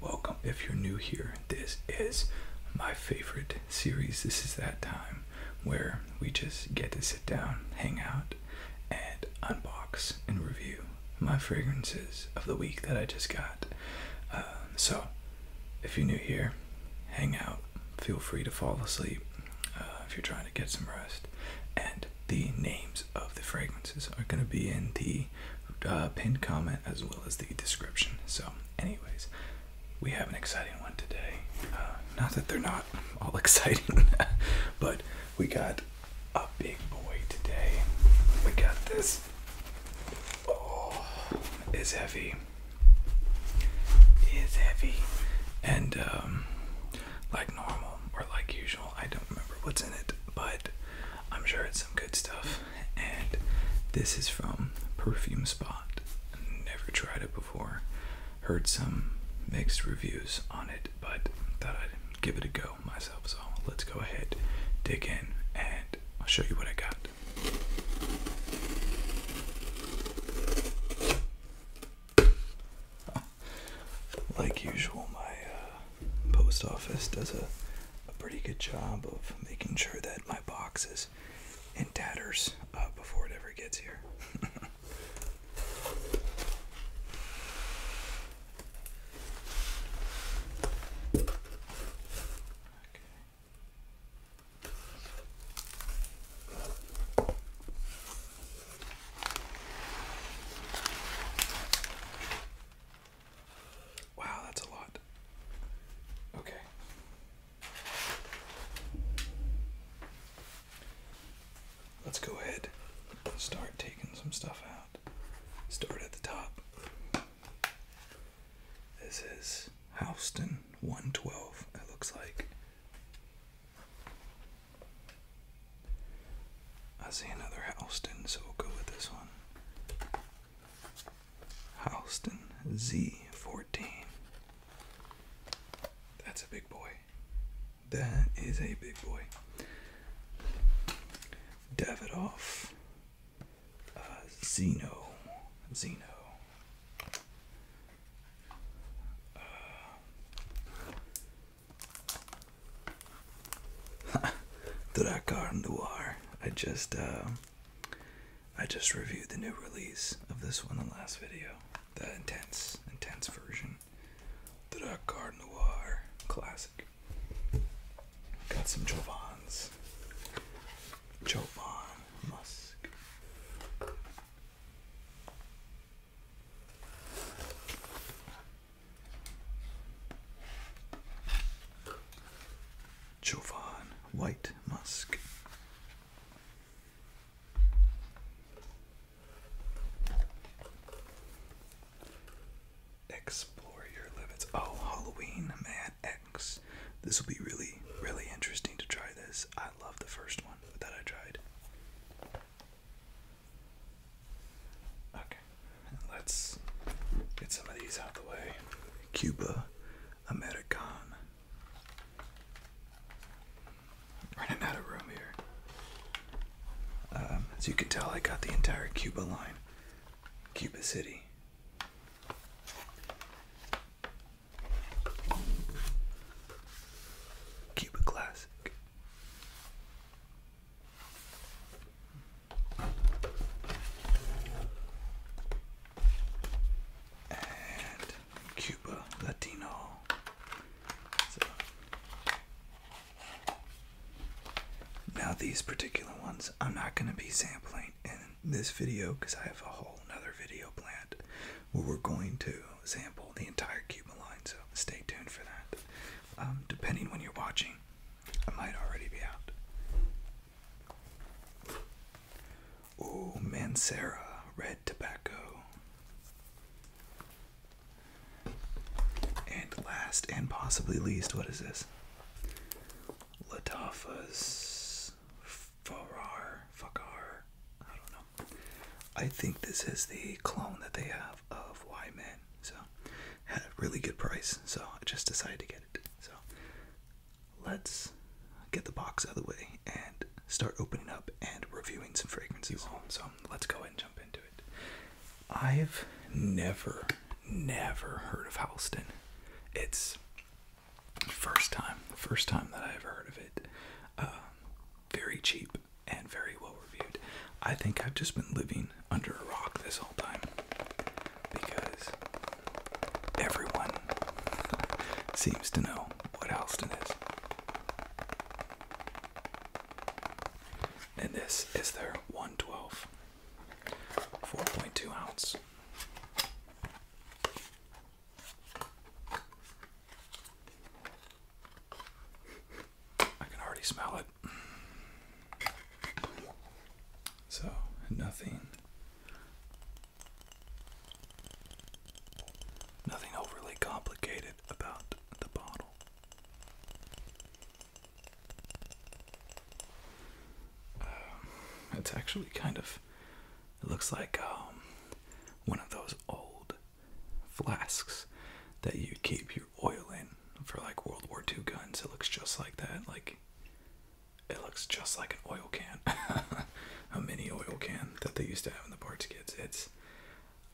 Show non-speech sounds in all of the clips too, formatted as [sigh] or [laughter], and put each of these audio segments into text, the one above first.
Welcome if you're new here. This is my favorite series. This is that time where we just get to sit down, hang out, and unbox and review my fragrances of the week that I just got. Um, so, if you're new here, hang out. Feel free to fall asleep uh, if you're trying to get some rest. And the names of the fragrances are going to be in the the uh, pinned comment as well as the description. So, anyways, we have an exciting one today. Uh, not that they're not all [laughs] exciting, but we got a big boy today. We got this. Oh, it's heavy. It's heavy. And, um, like normal or like usual, I don't remember what's in it, but I'm sure it's some good stuff and this is from Perfume Spot. Never tried it before. Heard some mixed reviews on it, but thought I'd give it a go myself. So let's go ahead, dig in, and I'll show you what I got. [laughs] Like usual, my uh, post office does a, a pretty good job of making sure that my box is in tatters uh, before it ever gets here. Wow, that's a lot. Okay. Let's go ahead and start taking some stuff out. Start at the top. This is Houston 112, it looks like. I see another Houston, so we'll go with this one. Houston Z14. That's a big boy. That is a big boy. Davidoff. Uh, Zeno. Zeno. Uh, the [laughs] Noir. I just uh, I just reviewed the new release of this one in last video. The intense, intense version. The Dakar War classic. Got some Jovans. Jovan Musk. Jovan White Musk. Explore your limits. Oh, Halloween, man, X. This will be really, really interesting to try this. I love the first one that I tried. Okay, Let's get some of these out of the way. Cuba American. running out of room here. Um, as you can tell, I got the entire Cuba line. Cuba City. Cuba Classic and Cuba Latino. now these particular ones I'm not going to be sampling in this video because I have a whole other video planned where we're going to sample the entire Cuba line. So stay tuned for that. Um, depending when you're watching, I might already be out. Oh, Mancera, red tobacco. And last and possibly least, what is this? Latafa's Farar, Fakar, I don't know. I think this is the clone that they have of Y So, had a really good price. So, I just decided to get it. So, let's get the box out of the way and start opening up and reviewing some fragrances. So let's go and jump into it. I've never, never heard of Halston. It's first time, first time that I ever heard of it. Um, very cheap and very well reviewed. I think I've just been living under a rock this whole time because everyone seems to know what Alston is. And this is their 112, 4.2 ounce. I can already smell it. So, nothing. Nothing overly complicated about the bottle. Um, it's actually kind of. It looks like um, one of those old flasks that you keep your oil in for like World War II guns. It looks just like that. Like it looks just like an oil can, [laughs] a mini oil can that they used to have in the parts kids. It's,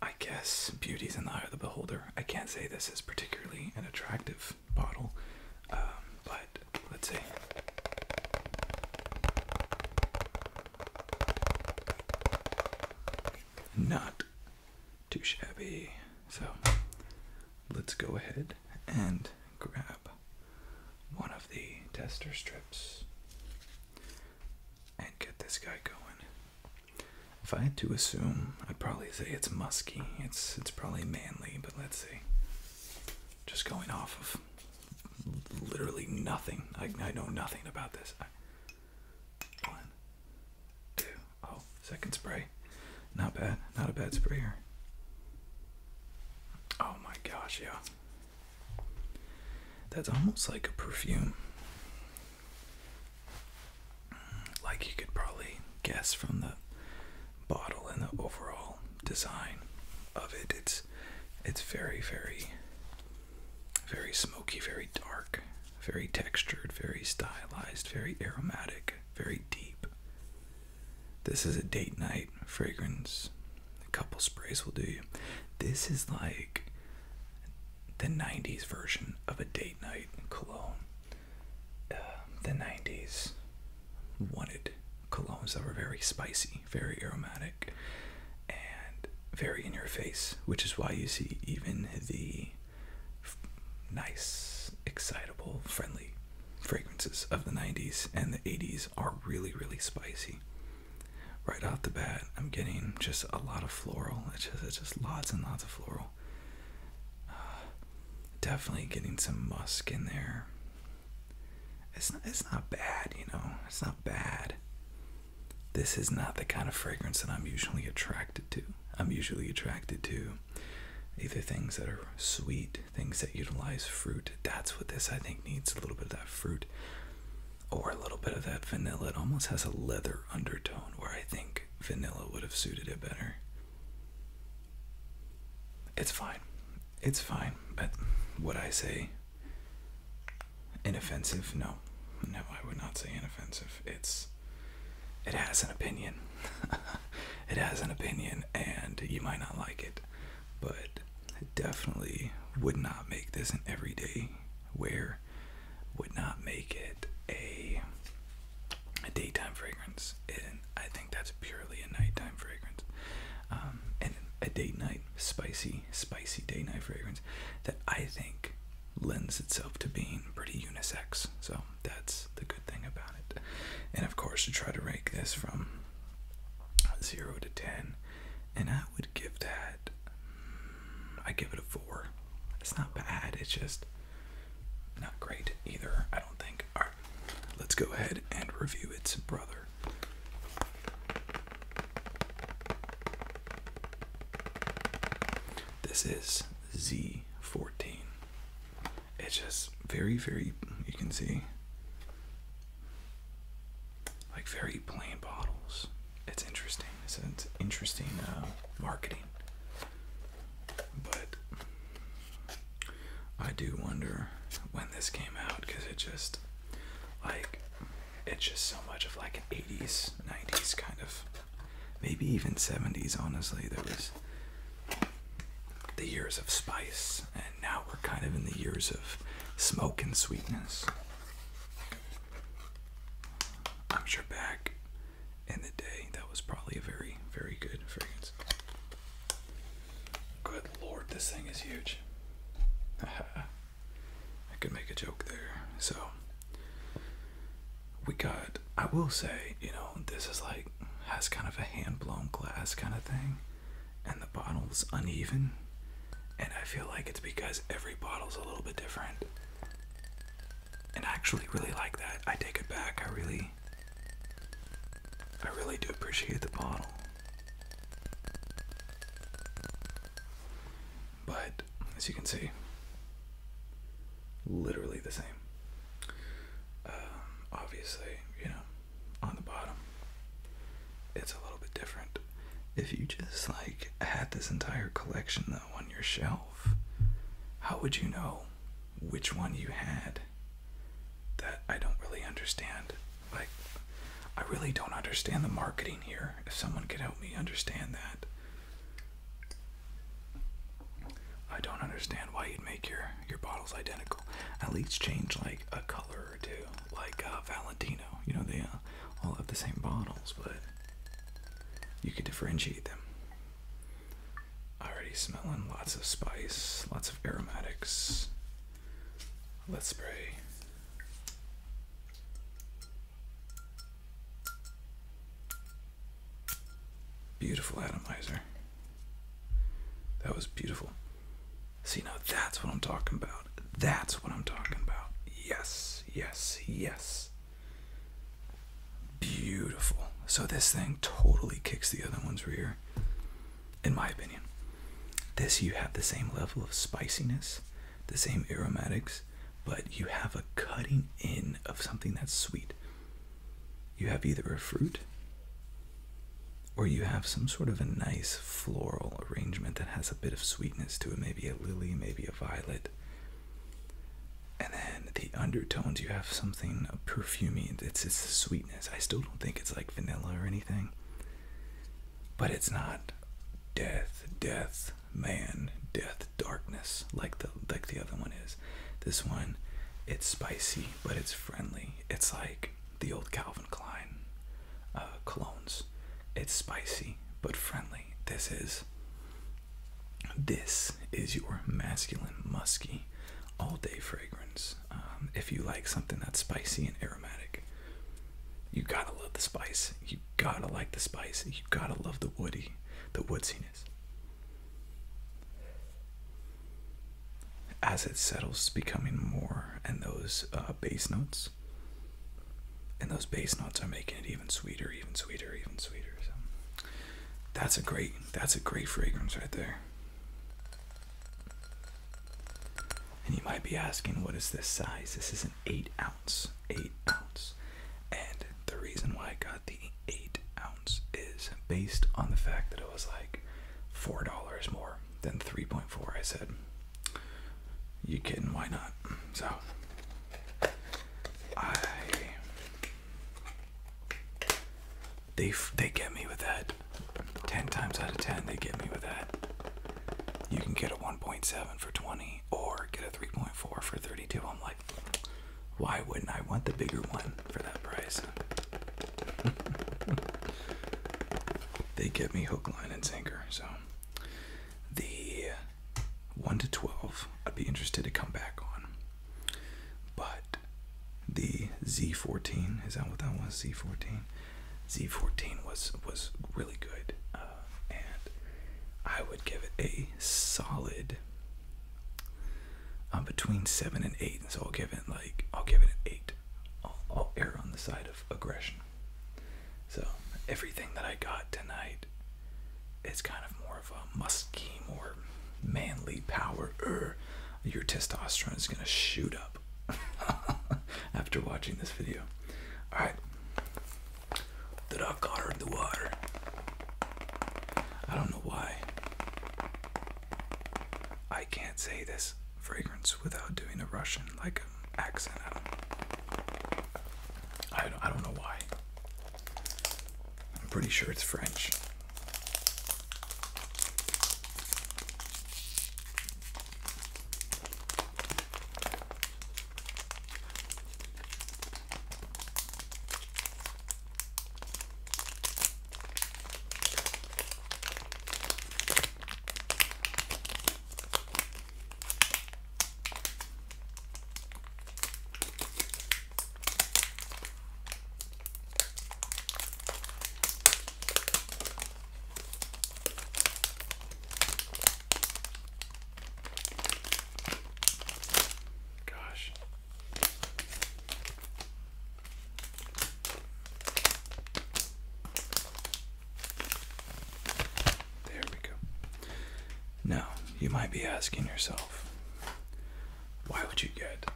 I guess, beauty's in the eye of the beholder. I can't say this is particularly an attractive bottle, um, but let's see. Not too shabby. So let's go ahead and grab one of the tester strips and get this guy going. If I had to assume, I'd probably say it's musky. It's it's probably manly, but let's see. Just going off of literally nothing. I, I know nothing about this. I, one, two, oh, second spray. Not bad. Not a bad sprayer. Oh my gosh, yeah. That's almost like a perfume. Like you could probably guess from the bottle and the overall design of it. It's it's very, very very smoky, very dark, very textured, very stylized, very aromatic, very deep. This is a date night fragrance. A couple sprays will do you. This is like the 90s version of a date night cologne. Um, the 90s wanted colognes that were very spicy, very aromatic, and very in your face, which is why you see even the nice, excitable, friendly fragrances of the 90s and the 80s are really, really spicy. Right off the bat, I'm getting just a lot of floral. It's just, just lots and lots of floral. [sighs] definitely getting some musk in there. It's not, it's not bad, you know. It's not bad. This is not the kind of fragrance that I'm usually attracted to. I'm usually attracted to either things that are sweet, things that utilize fruit. That's what this I think needs a little bit of that fruit or a little bit of that vanilla. It almost has a leather undertone where I think vanilla would have suited it better. It's fine. It's fine. But would I say inoffensive? No. No, I would not say inoffensive. It's it has an opinion. [laughs] it has an opinion and you might not like it, but it definitely would not make this an everyday wear, would not make it a, a daytime fragrance. And I think that's purely a nighttime fragrance. Um, and a date night, spicy, spicy date night fragrance that I think lends itself to being pretty unisex. So that's the good thing about it. And of course, to try to rank this from 0 to 10, and I would give that, I give it a 4. It's not bad, it's just not great either, I don't think. Alright, let's go ahead and review its brother. This is Z14 it's just very, very, you can see, like very plain bottles. It's interesting. It's interesting uh, marketing. But I do wonder when this came out because it just, like, it's just so much of like an 80s, 90s kind of, maybe even 70s, honestly. There was the years of spice, and now we're kind of in the years of smoke and sweetness. I'm sure back in the day that was probably a very, very good fragrance. Good lord, this thing is huge. [laughs] I could make a joke there. So, we got, I will say, you know, this is like, has kind of a hand blown glass kind of thing and the bottle's uneven. And I feel like it's because every bottle's a little bit different. And I actually really like that. I take it back. I really I really do appreciate the bottle. But as you can see, literally the same. Um, obviously, you know, on the bottom. It's a little bit different. If you just like had this entire collection though on your shelf, how would you know which one you had? That I don't really understand. Like, I really don't understand the marketing here. If someone could help me understand that, I don't understand why you'd make your your bottle's identical. At least change like a color or two, like uh, Valentino. You know they uh, all have the same bottles, but you could differentiate them. Already smelling lots of spice, lots of aromatics. Let's spray. Beautiful atomizer. That was beautiful. See, now that's what I'm talking about. That's what I'm talking about. Yes, yes, yes. Beautiful. So this thing totally kicks the other one's rear, in my opinion. This, you have the same level of spiciness, the same aromatics, but you have a cutting in of something that's sweet you have either a fruit or you have some sort of a nice floral arrangement that has a bit of sweetness to it, maybe a lily, maybe a violet. And then the undertones, you have something perfumy. It's it's the sweetness. I still don't think it's like vanilla or anything. But it's not death, death, man, death, darkness like the like the other one is. This one, it's spicy, but it's friendly. It's like the old Calvin Klein uh, colognes. It's spicy but friendly. This is this is your masculine musky all day fragrance. Um, if you like something that's spicy and aromatic, you gotta love the spice. You gotta like the spice. You gotta love the woody, the woodiness as it settles becoming more and those uh, bass notes and those bass notes are making it even sweeter even sweeter even sweeter so that's a great that's a great fragrance right there and you might be asking what is this size this is an eight ounce eight ounce and the reason why i got the eight ounce is based on the fact that it was like four dollars more then 3.4. I said, You kidding? Why not? So, They, they get me with that. 10 times out of 10, they get me with that. You can get a 1.7 for 20 or get a 3.4 for 32. I'm like, why wouldn't I want the bigger one for that price? they get me hook, line, and sinker. So the 1 to 12, I'd be interested to come back on. But the Z14, is that what that was? Z14? Z14 was was really good. Uh, and I would give it a solid I'm uh, between seven and eight, and so I'll give it like I'll give it an eight. I'll, err on the side of aggression. So everything that I got tonight is kind of more of a musky, more manly power. your testosterone is gonna shoot up [laughs] after watching this video. All right, that I caught the water. I don't know why. I can't say this fragrance without doing a Russian like accent. I don't, I don't know why. I'm pretty sure it's French. Gosh. There we go. Now, you might be asking yourself, why would you get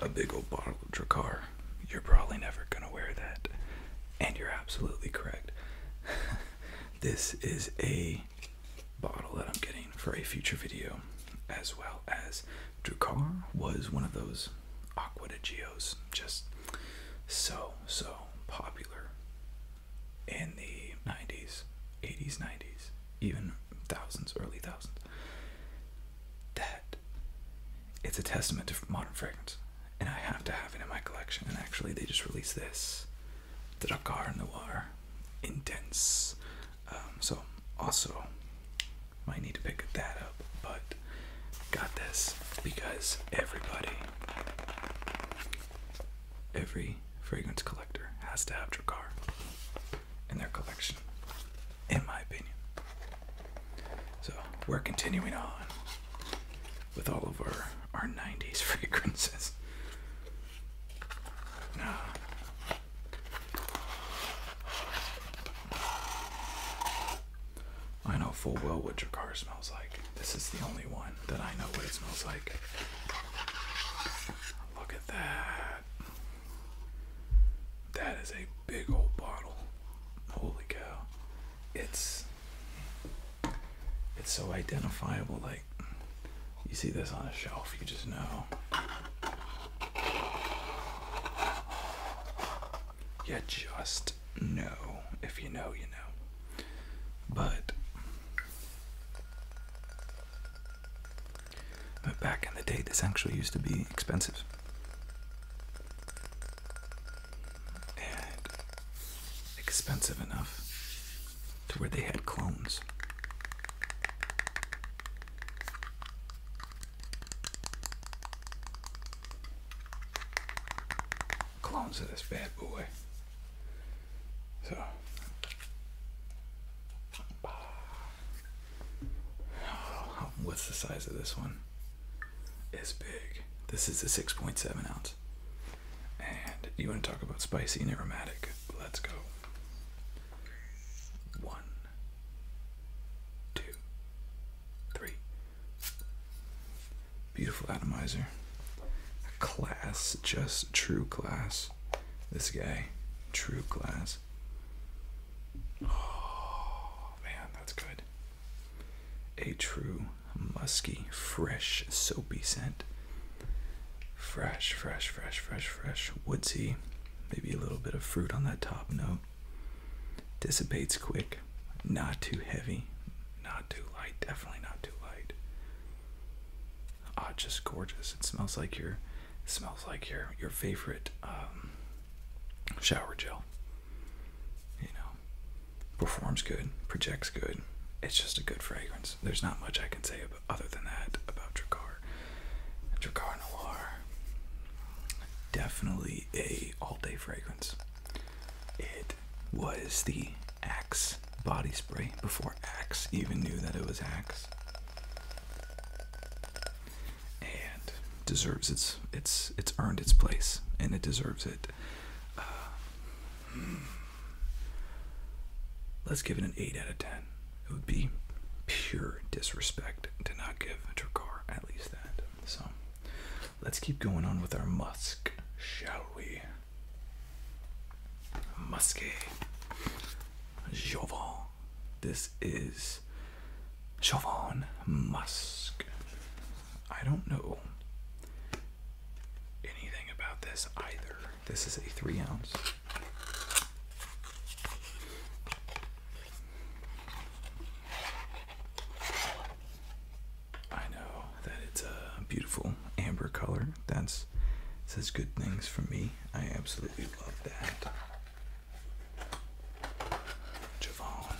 a big old bottle of Dracar? You're probably never going to wear that. And you're absolutely correct. [laughs] this is a bottle that I'm getting for a future video, as well as Dracar was one of those Aqua Geos, just so, so popular in the 90s, 80s, 90s, even thousands, early thousands. That it's a testament to modern fragrance, and I have to have it in my collection. And actually, they just released this the Dakar the Water, Intense. Um, so, also might need to pick that up, but got this because everybody, every fragrance collector has to have Drakkar in their collection, in my opinion. So we're continuing on with all of our, our 90s [laughs] fragrances. Uh, I know full well what your car smells like. This is the only one that I know what it smells like. Look at that. That is a big old bottle. Holy cow. It's it's so identifiable like you see this on a shelf, you just know you just know. If you know, you know. But, but back in the day, this actually used to be expensive. And expensive enough to where they had clones clones of this bad boy. So. what's the size of this one? It's big. This is a 6.7 ounce. And you want to talk about spicy and aromatic? Let's go. One, two, three. Beautiful atomizer. Class, just true class. This guy, true class. Oh man, that's good. A true musky, fresh, soapy scent. Fresh, fresh, fresh, fresh, fresh, woodsy. Maybe a little bit of fruit on that top note. Dissipates quick, not too heavy, not too light, definitely not too light. Ah, just gorgeous. It smells like your smells like your your favorite um, shower gel. You know, performs good, projects good. It's just a good fragrance. There's not much I can say other than that about Dracar. Dracar Noir, definitely a all day fragrance. It was the Axe body spray before Axe even knew that it was Axe. And deserves its it's it's earned its place and it deserves it. Uh, hmm. let's give it an 8 out of 10. It would be pure disrespect to not give Dracar at least that. So let's keep going on with our musk, shall we? Musky. Jovan. This is Jovan Musk. I don't know anything about this either. This is a three ounce. I know that it's a beautiful amber color. That's says good things for me. I absolutely love that. Javon.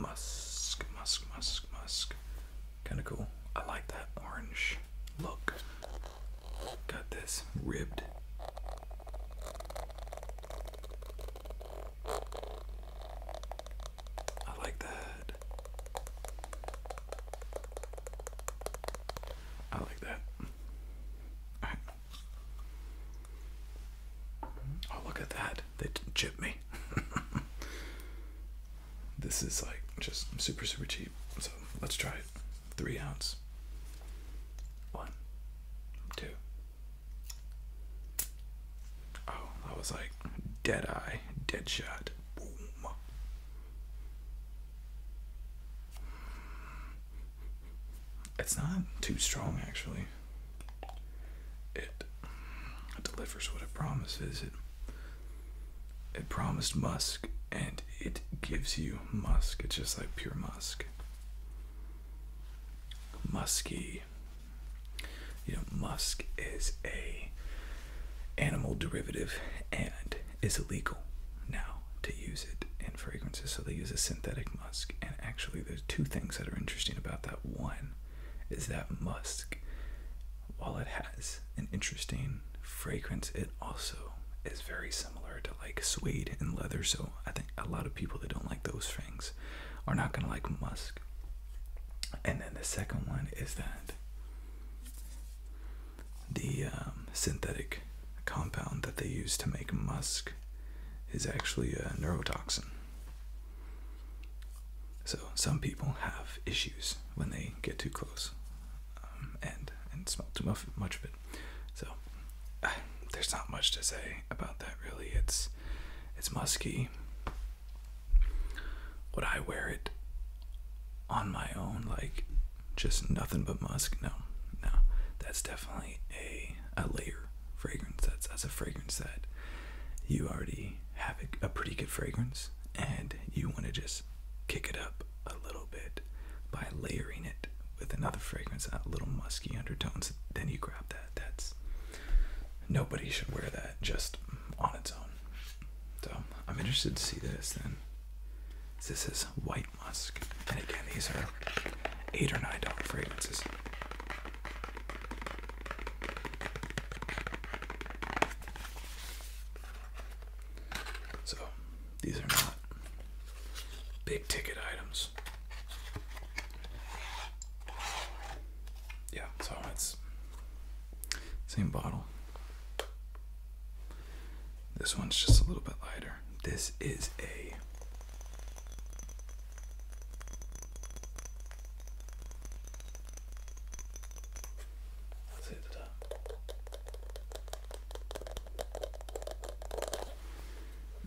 Musk, musk, musk, musk. Kinda cool. I like that orange look Got this ribbed. I like that. I like that. Right. Oh, look at that. They did chip me. [laughs] this is like just super, super cheap. So let's try it. Three ounce. One, two. Oh, that was like dead eye, dead shot. Boom. It's not too strong, actually. It delivers what it promises. It it promised Musk, and it gives you musk. It's just like pure musk. Musky. You know, musk is a animal derivative and is illegal now to use it in fragrances. So they use a synthetic musk. And actually there's two things that are interesting about that. One is that musk, while it has an interesting fragrance, it also is very similar to like suede and leather. So I think a lot of people that don't like those things are not gonna like musk. And then the second one is that the um, synthetic compound that they use to make musk is actually a neurotoxin. So some people have issues when they get too close um, and and smell too much of it. So ah, there's not much to say about that really. It's it's musky. Would I wear it on my own like just nothing but musk? No. No. That's definitely a a layer fragrance. That's that's a fragrance that you already have a pretty good fragrance and you want to just kick it up a little bit by layering it with another fragrance, a little musky undertones. Then you grab that. That's nobody should wear that just on its own. So I'm interested to see this then. This is white musk, and again, these are eight or nine dollar fragrances. So these are not big ticket items. Yeah, so it's same bottle. This one's just a little bit lighter. This is a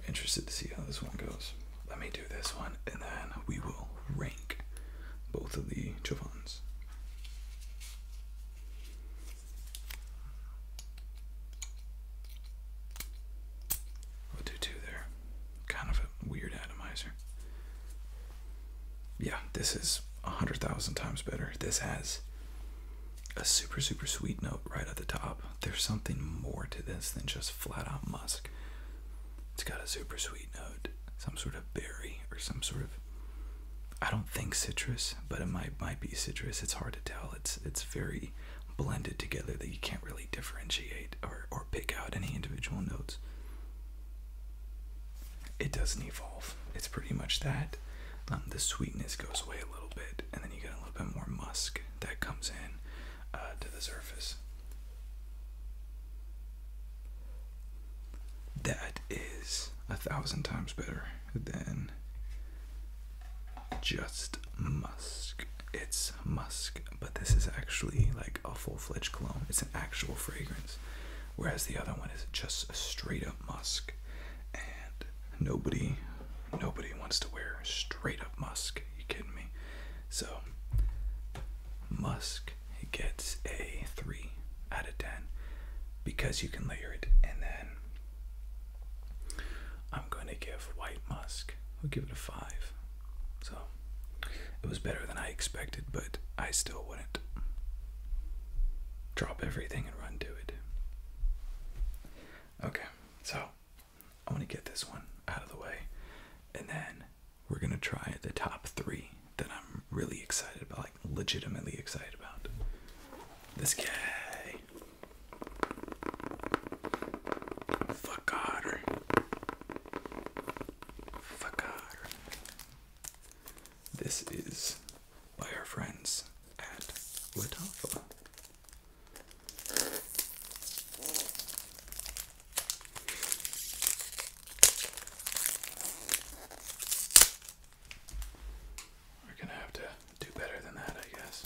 interested to see how this one goes. Let me do this one and then we will rank both of the Chavons. We'll do two there. Kind of a weird atomizer. Yeah, this is a hundred thousand times better. This has a super super sweet note right at the top. There's something more to this than just flat out musk. It's got a super sweet note, some sort of berry or some sort of I don't think citrus, but it might might be citrus. It's hard to tell. It's it's very blended together that you can't really differentiate or or pick out any individual notes. It doesn't evolve. It's pretty much that. Um, the sweetness goes away a little bit and then you get a little bit more musk that comes in uh, to the surface. That is a thousand times better than just musk. It's musk, but this is actually like a full fledged cologne. It's an actual fragrance, whereas the other one is just a straight up musk. And nobody Nobody wants to wear straight up musk. Are you kidding me? So, musk gets a 3 out of 10 because you can layer it. And then I'm going to give white musk, i will give it a 5. So, it was better than I expected, but I still wouldn't drop everything and run to it. Okay, so I'm gonna get this one out of the way, and then we're gonna try the top three that I'm really excited about, like legitimately excited about. This guy. Fuck otter. Fuck otter. This is by our friends at Latafa. We're gonna have to do better than that, I guess.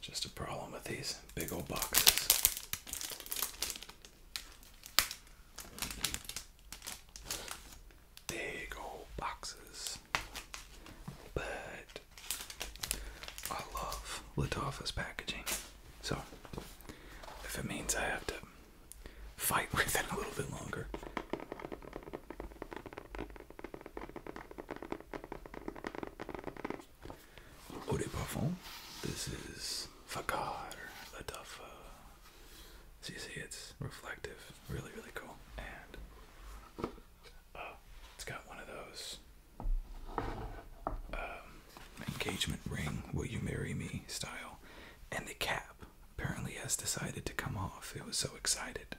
Just a problem with these big old boxes. Big old boxes. But product. I love Latafa's packaging. So, if it means I have to fight [laughs] with it a little bit longer. Eau de This is Fakar Latafa. So you see it's reflective. Really, really cool. And uh, it's got one of those um, engagement ring, will you marry me style. And the cap apparently has decided to come off. It was so excited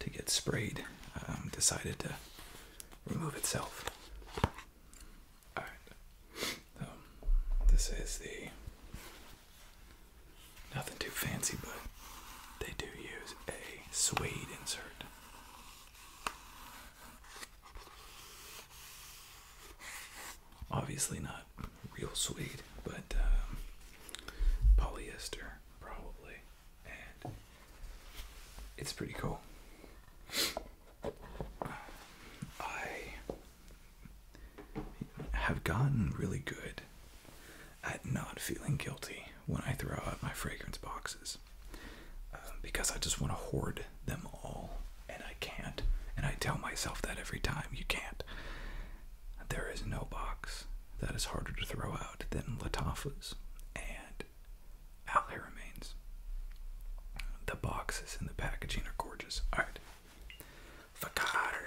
to get sprayed, um, decided to remove itself. Alright, um, this is the nothing too fancy, but they do use a suede insert. Obviously, not real suede, but uh, polyester, probably. it's pretty cool. I have gotten really good at not feeling guilty when I throw out my fragrance boxes. Um, because I just want to hoard them all, and I can't. And I tell myself that every time you can't. There is no box that is harder to throw out than Latafa's and Al Haramain's. The boxes and the packaging are gorgeous. All right, Fakar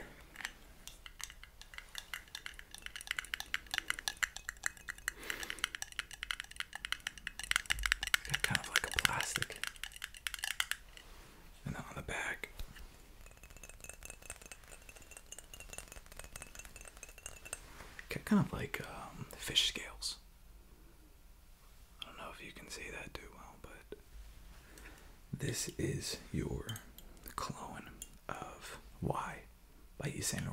kind of like a plastic. And then on the back. kind of like um, fish scales. I don't know if you can see that too well, but this is your clone of "Why" by Yves Saint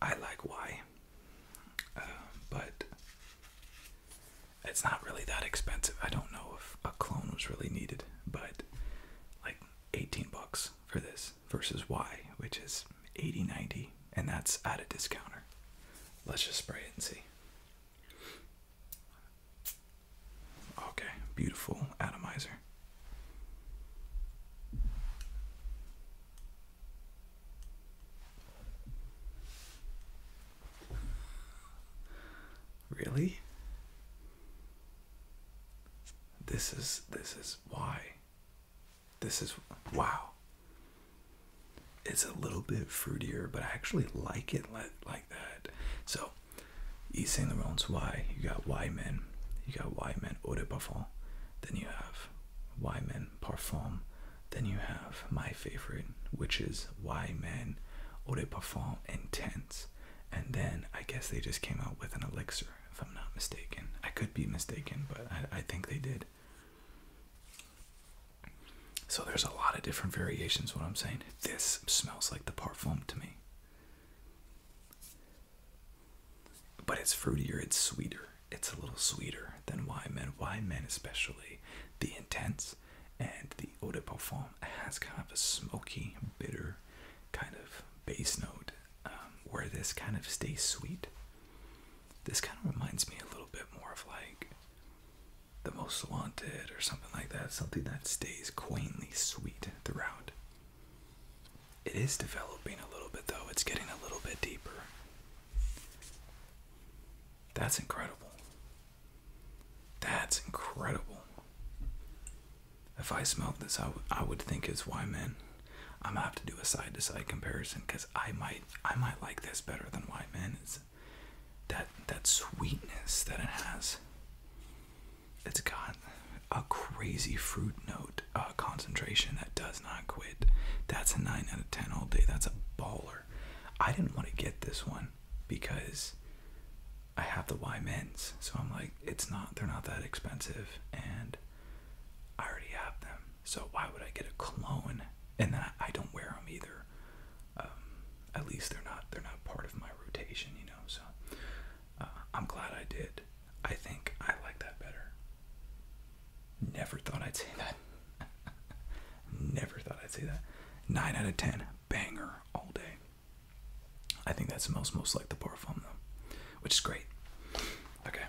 I like Y, uh, but it's not really that expensive. I don't know if a clone was really needed, but like 18 bucks for this versus Y, which is 80 90, and that's at a discounter. Let's just spray it and see. Okay, beautiful atomizer. Really? This is this is why. This is wow. It's a little bit fruitier, but I actually like it like, that. So, Yves Saint Laurent's Y, you got Y men, you got Y men eau de parfum, then you have why Men Parfum. Then you have my favorite, which is Why Men Eau de Parfum Intense. And then I guess they just came out with an elixir, if I'm not mistaken. I could be mistaken, but I, I think they did. So there's a lot of different variations, what I'm saying. This smells like the parfum to me. But it's fruitier, it's sweeter. It's a little sweeter than wine men. Wine men, especially the intense and the eau de parfum, has kind of a smoky, bitter kind of base note um, where this kind of stays sweet. This kind of reminds me a little bit more of like the most wanted or something like that, something that stays quaintly sweet throughout. It is developing a little bit though. It's getting a little bit deeper. That's incredible. That's incredible. If I smelled this, I, would think it's why men. I'm gonna have to do a side to side comparison because I might I might like this better than white men. It's that that sweetness that it has. It's got a crazy fruit note uh, concentration that does not quit. That's a 9 out of 10 all day. That's a baller. I didn't want to get this one because I have the Y mints. So I'm like, it's not, they're not that expensive. And I already have them. So why would I get a clone? And then I, don't wear them either. Um, at least they're not, they're not part of my rotation, you know? So uh, I'm glad I did. I think I like that better. Never thought I'd say that. [laughs] Never thought I'd say that. 9 out of 10. Banger all day. I think that smells most like the Parfum, though, which is great. Okay.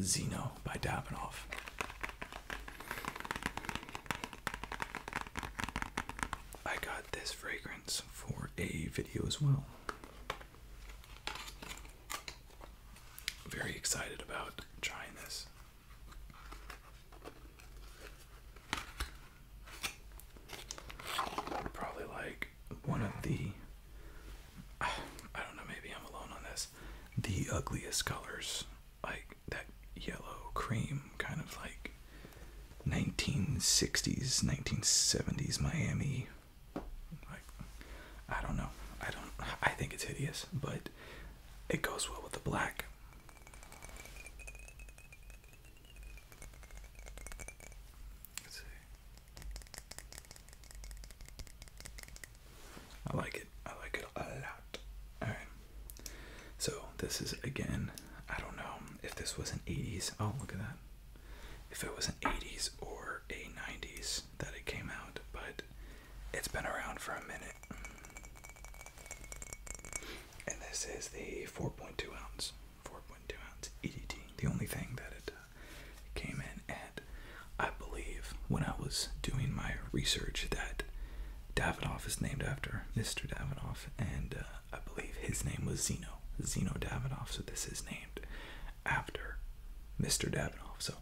Zeno by Dabinov. I got this fragrance for a video as well very excited about trying this. Probably like one of the, I don't know, maybe I'm alone on this, the ugliest colors, like that yellow cream, kind of like 1960s, 1970s Miami like, I don't know. I don't. I think it's hideous, but it goes well with the black. Let's see. I like it. I like it a lot. Alright. So, this is again, I don't know if this was an 80s. Oh, look at that. If it was an 80s or a 90s that it came out, but it's been around for a minute. And this is the 4.2 ounce, 4.2 ounce EDT. The only thing that it uh, came in and I believe, when I was doing my research, that Davenoff is named after Mr. Davenoff, and uh, I believe his name was Zeno, Zeno Davenoff. So this is named after Mr. Davidoff. So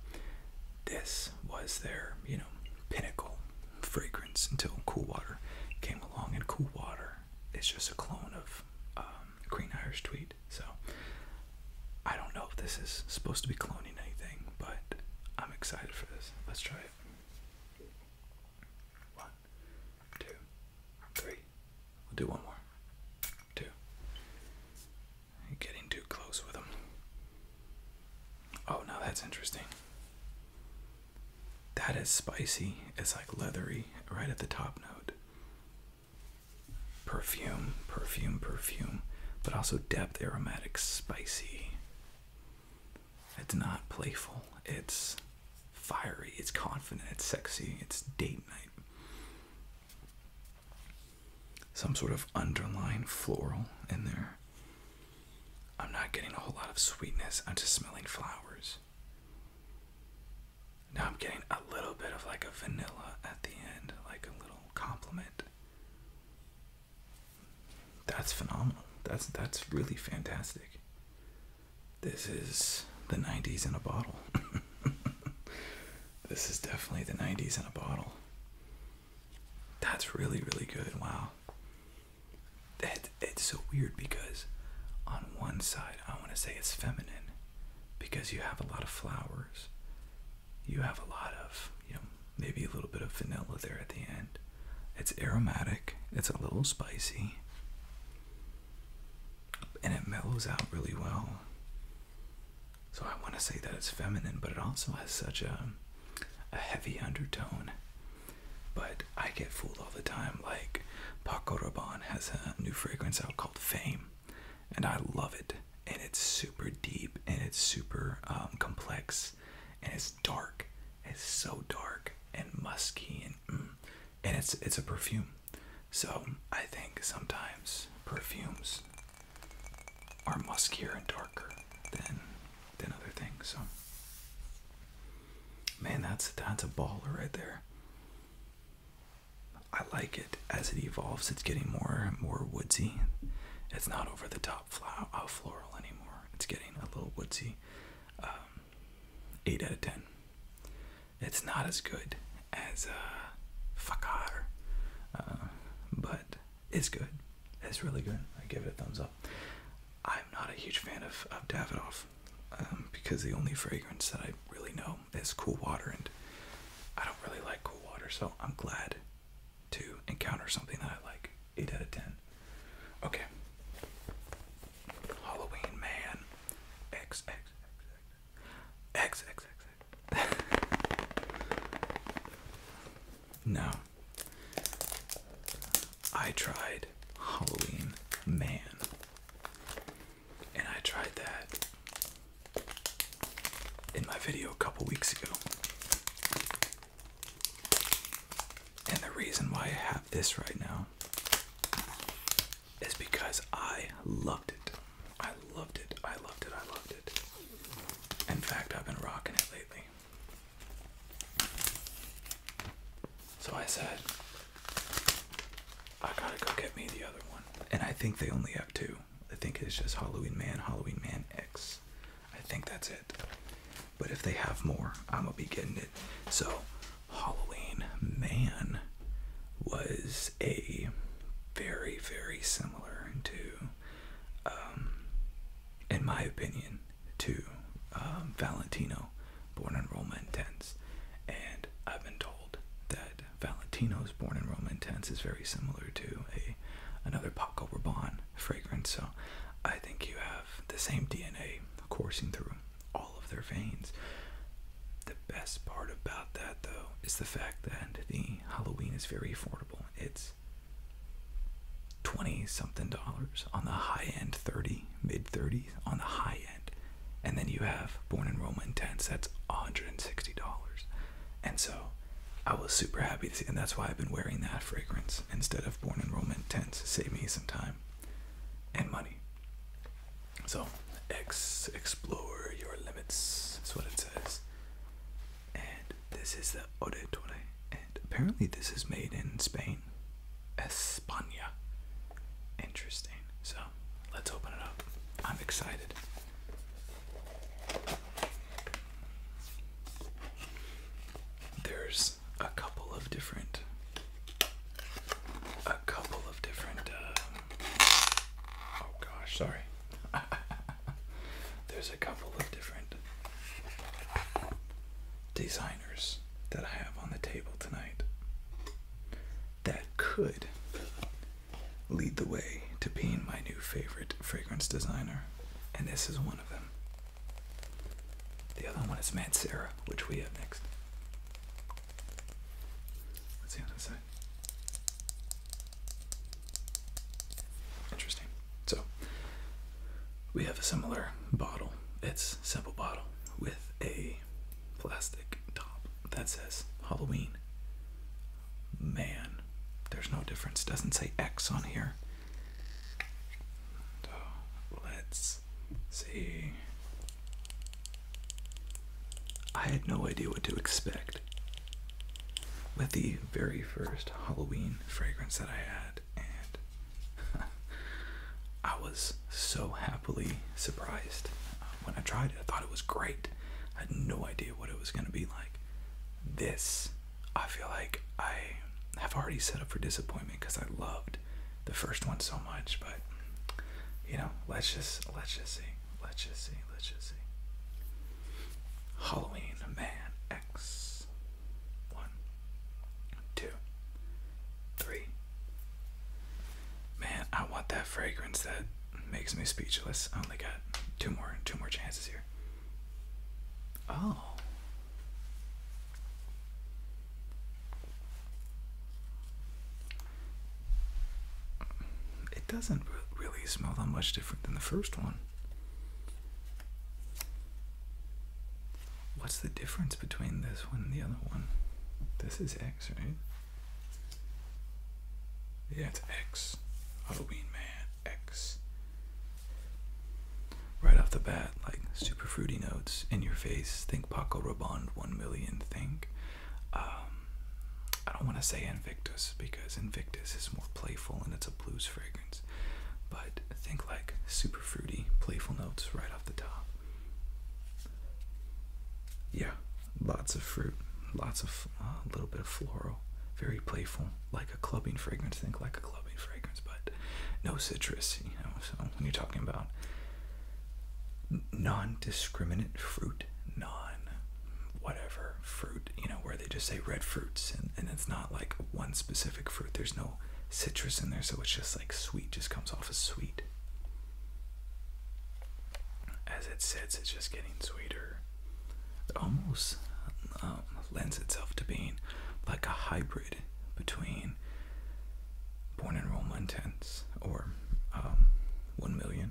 this was their, you know, pinnacle fragrance until Cool Water came along, and Cool Water is just a clone of um, Green Irish Tweed. So I don't know if this is supposed to be cloning anything, but I'm excited for this. Let's try it. One, two, three. We'll do one more. Two, Getting too close with them. Oh, now that's interesting. That is spicy. It's like leathery right at the top note. Perfume, perfume, perfume, but also depth, aromatic, spicy. It's not playful. It's fiery. It's confident. It's sexy. It's date night some sort of underlying floral in there. I'm not getting a whole lot of sweetness, I'm just smelling flowers. Now I'm getting a little bit of like a vanilla at the end, like a little compliment. That's phenomenal. That's that's really fantastic. This is the 90s in a bottle. [laughs] This is definitely the 90s in a bottle. That's really, really good. Wow. That, it's so weird because on one side, I want to say it's feminine because you have a lot of flowers. You have a lot of, you know, maybe a little bit of vanilla there at the end. It's aromatic, it's a little spicy, and it mellows out really well. So I want to say that it's feminine, but it also has such a a heavy undertone. But I get fooled all the time. Like Paco Rabanne has a new fragrance out called Fame, and I love it. And it's super deep, and it's super um, complex, and it's dark. It's so dark and musky, and mm, and it's it's a perfume. So I think sometimes perfumes are muskier and darker than than other things. So, man, that's that's a baller right there. I like it as it evolves. It's getting more and more woodsy. It's not over the top uh, floral anymore. It's getting a little woodsy. Um, eight out of ten. It's not as good as uh, Fakar, uh, but it's good. It's really good. I give it a thumbs up. I'm not a huge fan of, of Davidoff um, because the only fragrance that I really know is cool water, and I don't really like cool water, so I'm glad to encounter something that I like. 8 out of 10. Okay. Halloween Man. X, X, X. X, X, X, X. [laughs] no. I tried Halloween Man. And I tried that in my video a couple weeks ago. And the reason why I have this right now is because I loved it. I loved it. I loved it. I loved it. In fact, I've been rocking it lately. So I said, I gotta go get me the other one. And I think they only have two. I think it's just Halloween Man, Halloween Man X. I think that's it. But if they have more, I'm gonna be getting it. So, Halloween Man was a very, very similar to, um, in my opinion, to um, Valentino, Born in Roma Intense. And I've been told that Valentino's Born in Roma Intense is very similar to a another Paco Rabanne fragrance. So I think you have the same DNA coursing through all of their veins. The best part about that though is the fact that the Halloween is very affordable. It's 20 something dollars on the high end, 30, mid 30s on the high end. And then you have Born in Roma Intense, that's $160. And so I was super happy to see, and that's why I've been wearing that fragrance instead of Born in Roma Intense. Save me some time and money. So, explore your limits. That's what it says. And this is the Ode Orettore. And apparently, this is made in Spain. España. Interesting. So, let's open it up. I'm excited. There's a couple of different. A couple of different. Uh, Oh gosh, sorry. [laughs] There's a couple of different designers that I have on the table tonight that could lead the way to being my new favorite fragrance designer, and this is one of them. The other one is Matt Sarah, which we have next. Let's see side. Interesting. So we have a similar bottle. It's simple bottle with a plastic top that says Halloween. Man, there's no difference. Doesn't say X on here. So let's see. I had no idea what to expect with the very first Halloween fragrance that I had, and [laughs] I was so happily surprised uh, when I tried it. I thought it was great. I had no idea what it was going to be like. This, I feel like I have already set up for disappointment because I loved the first one so much, but you know, let's just let's just see. Let's just see. Let's just see. Halloween Man X. One, two, three. Man, I want that fragrance that makes me speechless. I only got two more, two more chances here. Oh. It doesn't really really smell that much different than the first one. What's the difference between this one and the other one? This is X, right? Yeah, it's X. Halloween Man X. Right off the bat, like super fruity notes in your face. Think Paco Rabanne, One Million. Think um, I don't want to say Invictus because Invictus is more playful and it's a blues fragrance, but think like super fruity, playful notes right off the top. Yeah, lots of fruit, lots of uh, a little bit of floral, very playful, like a clubbing fragrance. Think like a clubbing fragrance, but no citrus. You know, so when you're talking about non discriminant fruit, non-whatever fruit, you know, where they just say red fruits and, it's not like one specific fruit. There's no citrus in there, so it's just like sweet, just comes off as sweet. As it sits, it's just getting sweeter. It almost um, lends itself to being like a hybrid between Born Enrollment Intense or um, 1 Million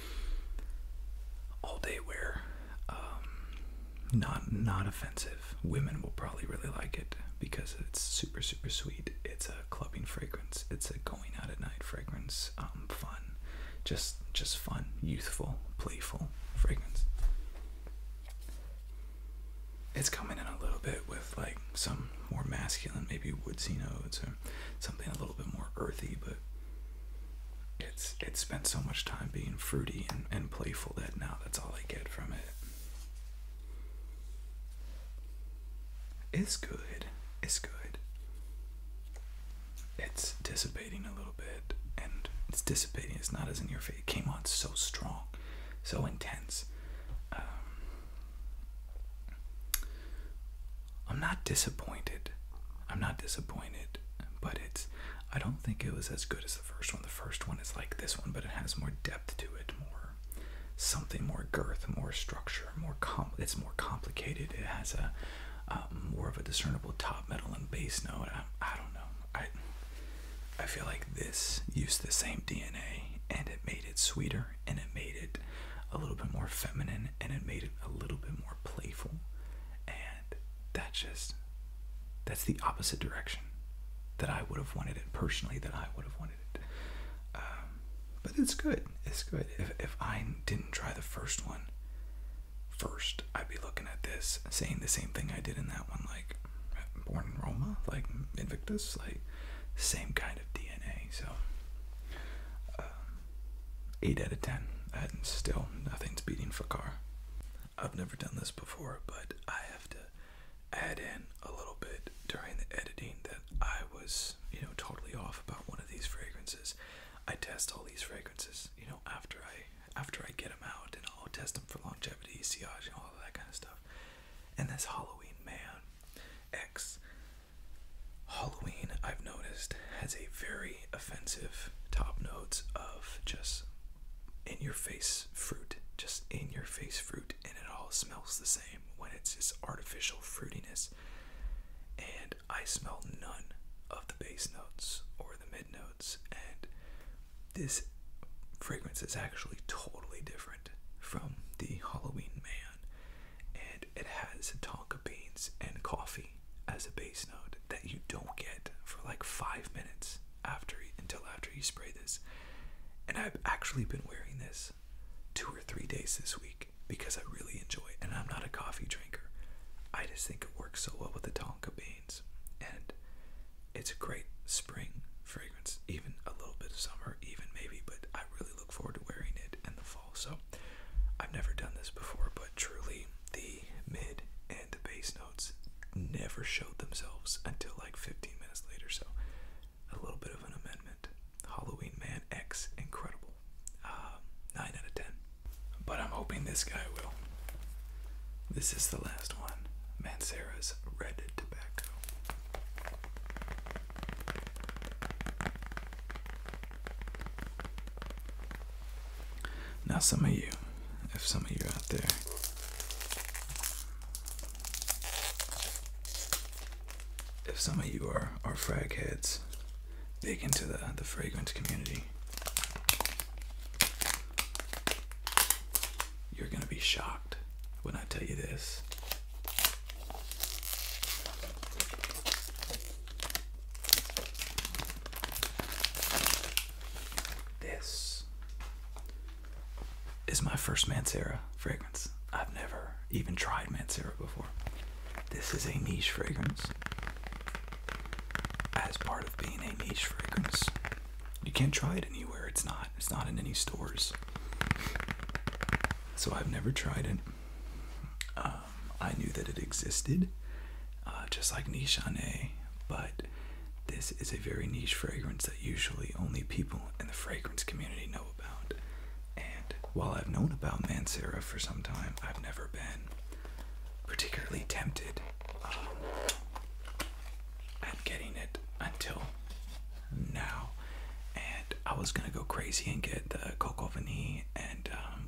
all day wear. Um, not not offensive. Women will probably really like it because it's super super sweet. It's a clubbing fragrance. It's a going out at night fragrance. Um, fun, just just fun, youthful, playful fragrance. It's coming in a little bit with like some more masculine, maybe woodsy notes or something a little bit more earthy, but it's it's spent so much time being fruity and, and playful that now that's all I get from it. It's good. It's good. It's dissipating a little bit, and it's dissipating. It's not as in your face. It came on so strong, so intense. Um, I'm not disappointed. I'm not disappointed, but it's I don't think it was as good as the first one. The first one is like this one, but it has more depth to it, more something more girth, more structure, more it's more complicated. It has a more of a discernible top metal and bass note. I, I don't know. I I feel like this used the same DNA and it made it sweeter and it made it a little bit more feminine and it made it a little bit more playful and that's just that's the opposite direction that i would have wanted it personally that i would have wanted it um, but it's good it's good if, if i didn't try the first one first i'd be looking at this saying the same thing i did in that one like born in roma like invictus like same kind of dna so um, 8 out of 10, and still nothing's beating Fakar. I've never done this before, but I have to add in a little bit during the editing that I was, you know, totally off about one of these fragrances. I test all these fragrances, you know, after I after I get them out, and I'll test them for longevity, sillage, and all that kind of stuff. And this Halloween Man X Halloween, I've noticed, has a very offensive top notes of just in your face fruit. Just in your face fruit, and it all smells the same when it's just artificial fruitiness. And I smell none of the base notes or the mid notes, and this fragrance is actually totally different from the Halloween Man. And it, has tonka beans and coffee as a base note that you don't get for like five minutes after until after you spray this. And I've actually been wearing this two or three days this week because I really enjoy it. And I'm not a coffee drinker. I just think it works so well with the tonka beans. And it's a great spring fragrance, even a little bit of summer, even maybe, but I really look forward to wearing it in the fall fall. So I've never done this before, but truly the mid and the bass notes never showed themselves until like 15 minutes later. So a little bit of an amendment. Halloween Man X, incredible. Um, 9 out of 10. But I'm hoping this guy will. This is the last one Mancera's Red Tobacco. Now, some of you, if some of you are out there, if some of you are, are frag heads, big into the, the fragrance community, you're going to be shocked when I tell you this. This is my first Mancera fragrance. I've never even tried Mancera before. This is a niche fragrance. As part of being a niche fragrance, you can't try it anywhere. It's not. It's not in any stores. So I've never tried it. Uh, um, I knew that it existed, uh, just like Nishane, but this is a very niche fragrance that usually only people in the fragrance community know about. And while I've known about Mancera for some time, I've never been particularly tempted um, at getting it until now. And I was gonna go crazy and get the Coco Vanille and um,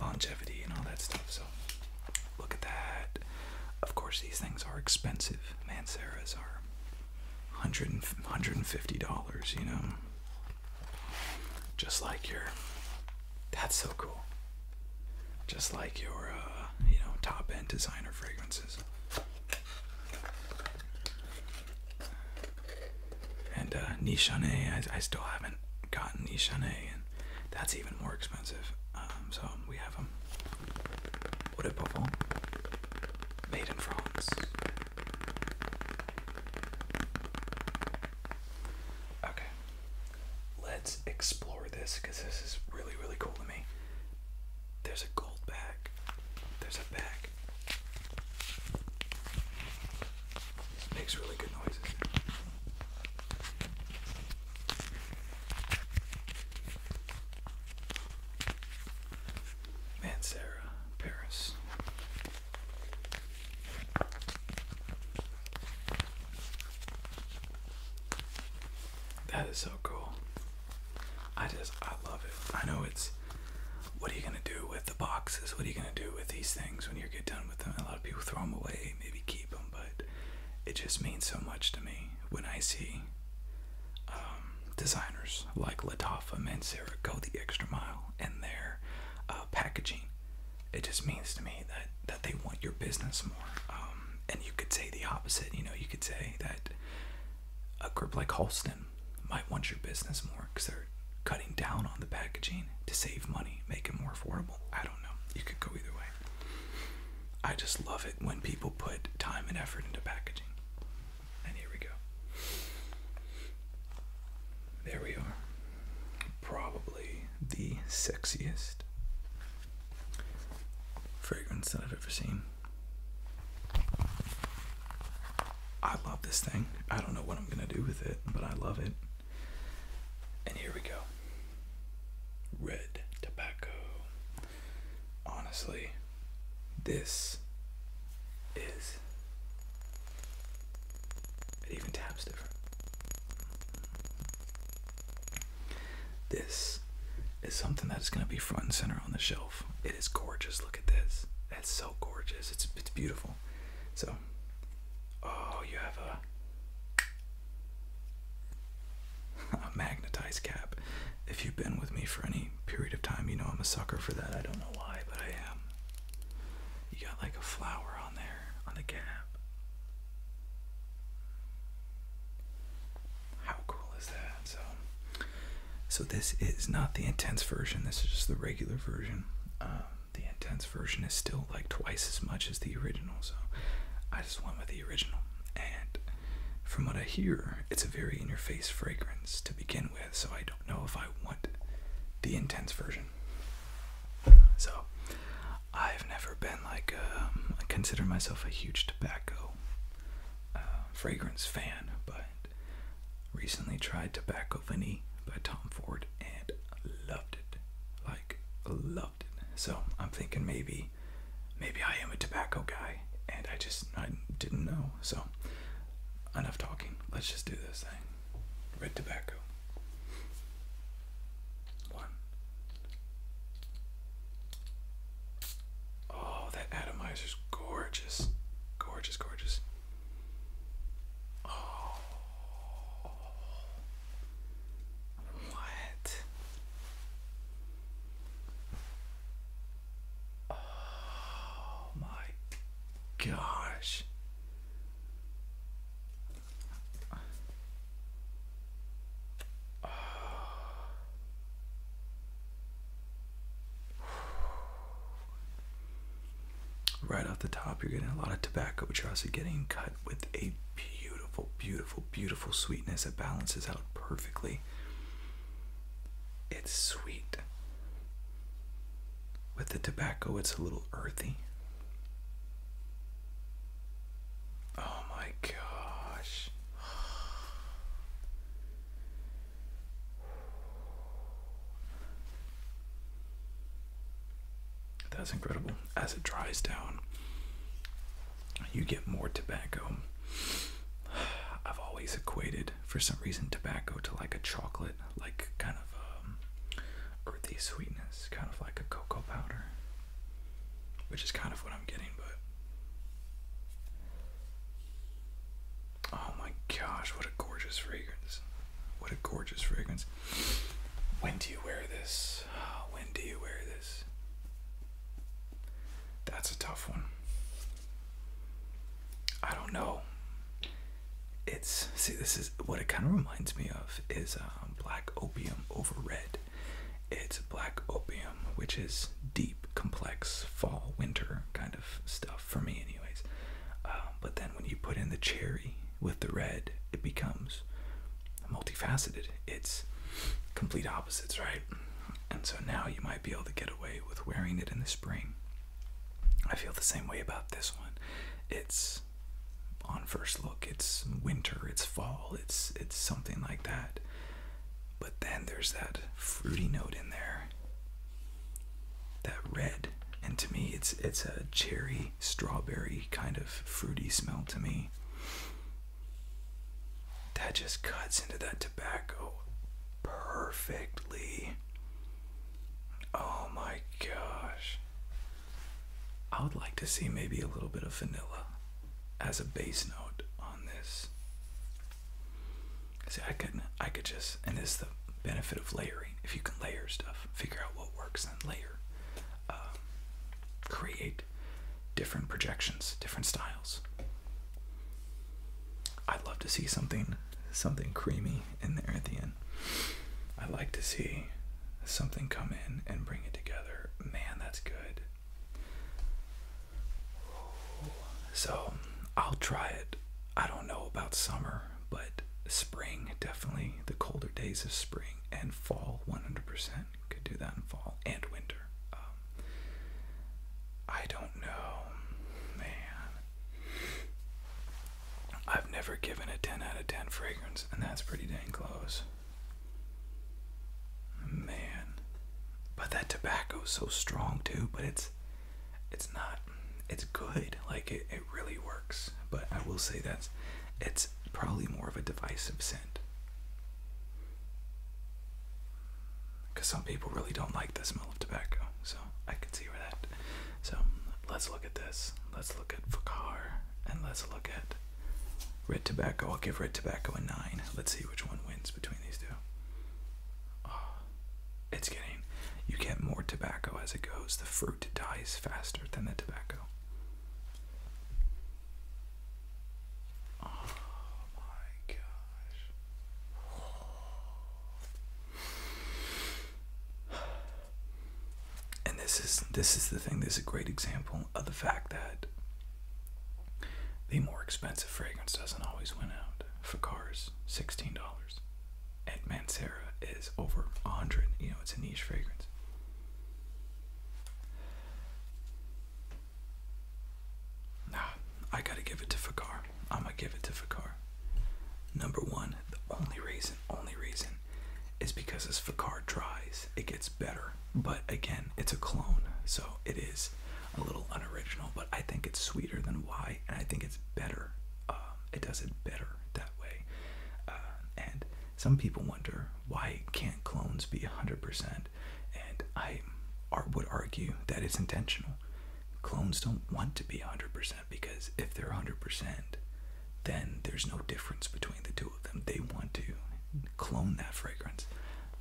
longevity and all that stuff. So look at that. Of course, these things are expensive. Manseras are 100 150 dollars. You know, just like your. That's so cool. Just like your, uh, you know, top end designer fragrances. And uh, Nishane, I, still haven't gotten Nishane, and that's even more expensive. Um, so we have them. Um, what a bubble. Made in France. Okay. Let's explore this because this is really, really cool to me. There's a gold bag. There's a bag. It makes Paris. That is so cool. I just I love it. I know it's what are you going to do with the boxes? What are you going to do with these things when you get done with them? A lot of people throw them away, maybe keep them, but it just means so much to me when I see um, designers like and Sarah go the extra mile in their uh, packaging. It just means to me that, that they want your business more. Um, and you could say the opposite. You know, you could say that a group like Holston might want your business more because they're cutting down on the packaging to save money, make it more affordable. I don't know. You could go either way. I just love it when people put time and effort into packaging. And here we go. There we are. Probably the sexiest fragrance that I've ever seen. I love this thing. I don't know what I'm going to do with it, but I love it. And here we go. Red tobacco. Honestly, this is. It even taps different. This is something that is going to be front and center on the shelf. It is gorgeous. Look at this. That's so gorgeous. It's, it's beautiful. So, Oh, you have a, magnetized cap. If you've been with me for any period of time, you know I'm a sucker for that. I don't know why, but I am. You got like a flower on there, on the cap. How cool is that? So, so this is not the intense version. This is just the regular version. Um, the intense version is still like twice as much as the original, so I just went with the original. And from what I hear, it's a very in your face fragrance to begin with, so I don't know if I want the intense version. So I've never been like, um, I consider myself a huge tobacco uh, fragrance fan, but recently tried tobacco Cacophony by Tom Ford and loved it. Like, loved it. So I'm thinking maybe maybe I am a tobacco guy and I just I didn't know. So enough talking. Let's just do this thing. Red tobacco. One. Oh, that atomizer's gorgeous. Gorgeous, gorgeous. Oh, what? Oh my gosh right off the top, you're getting a lot of tobacco, but you're also getting cut with a beautiful, beautiful, beautiful sweetness that balances out perfectly. It's sweet. With the tobacco, it's a little earthy. Oh my gosh. That's incredible. As it dries down, you get more tobacco. [sighs] I've always equated, for some reason, tobacco to like a chocolate, like kind of um, earthy sweetness, kind of like a cocoa powder, which is kind of what I'm getting, but. Oh my gosh, what a gorgeous fragrance. What a gorgeous fragrance. When do you wear this? When do you wear this? That's a tough one. I don't know. It's see this is what it kind of reminds me of is um, black opium over red. It's black opium, which is deep, complex fall winter kind of stuff for me, anyways. Uh, but then when you put in the cherry with the red, it becomes multifaceted. It's complete opposites, right? And so now you might be able to get away with wearing it in the spring. I feel the same way about this one. It's on first look, it's winter, it's fall, it's it's something like that. But then there's that fruity note in there that red, and to me, it's it's a cherry, strawberry kind of fruity smell to me. That just cuts into that tobacco perfectly. Oh my gosh. I would like to see maybe a little bit of vanilla as a base note on this. See, I could I could just, and this is the benefit of layering. If you can layer stuff, figure out what works layer, um, create different projections, different styles. I'd love to see something something creamy in there at the end. I like to see something come in and bring it together. Man, that's good. So I'll try it. I don't know about summer but spring definitely the colder days of spring and fall 100% could do that in fall and winter um, i don't know man i've never given a 10 out of 10 fragrance and that's pretty dang close man but that tobacco is so strong too but it's it's not it's good like it it really works. But I will say that it's probably more of a divisive scent. Because some people really don't like the smell of tobacco, so I can see where that. So let's look at this. Let's look at Fakar, and let's look at Red Tobacco. I'll give Red Tobacco a nine. Let's see which one wins between these two. Ah, it's getting. You get more tobacco as it goes. The fruit dies faster than the tobacco. Oh my gosh. And this is this is the thing, this is a great example of the fact that the more expensive fragrance doesn't always win out. For cars, $16 at Mancera is over 100. You know, it's a niche fragrance. Nah, I gotta give it to Fakar. I'm gonna give it to Fakar. Number one, the only reason, only reason is because as Fakar dries, it gets better. But again, it's a clone, so it is a little unoriginal, but I think it's sweeter than Y, and I think it's better. Um, it does it better that way. Uh, and some people wonder why can't clones be 100%, and I would argue that it's intentional. Clones don't want to be 100% because if they're 100%, then there's no difference between the two of them. They want to clone that fragrance,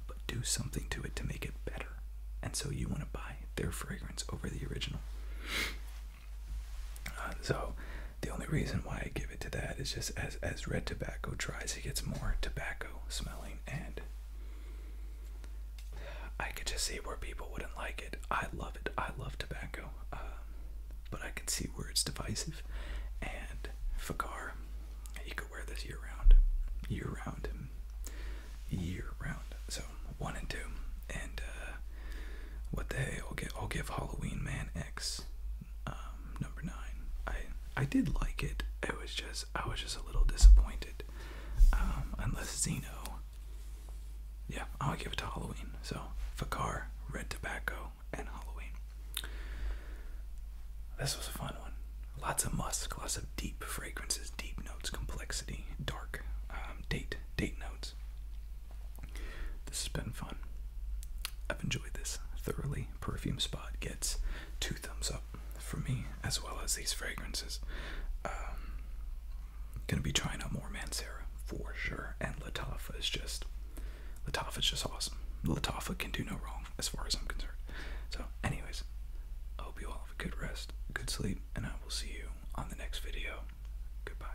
but do something to it to make it better. And so you want to buy their fragrance over the original. Uh, so the only reason why I give it to that is just as as red tobacco dries, it gets more tobacco smelling, and I could just see where people wouldn't like it. I love it. I love tobacco, um, but I could see where it's divisive. And Fakar, you could wear this year round, year round, year round. So one and two, and uh, what the hey? I'll give Halloween Man X um, number nine. I I did like it. It was just I was just a little disappointed. Um, unless Xeno. Yeah, I'll give it to Halloween. So Fakar, Red Tobacco, and Halloween. This was a fun one. Lots of musk, lots of deep fragrances, deep notes, complexity, dark, um, date, date notes. This has been fun. I've enjoyed this thoroughly. Perfume Spot gets two thumbs up for me, as well as these fragrances. Um, gonna be trying out more Man Mancera for sure, and Latafa is just Latafa is just awesome. Latafa can do no wrong as far as I'm concerned. So, anyways, I hope you all have a good rest, good sleep, and I will see you on the next video. Goodbye.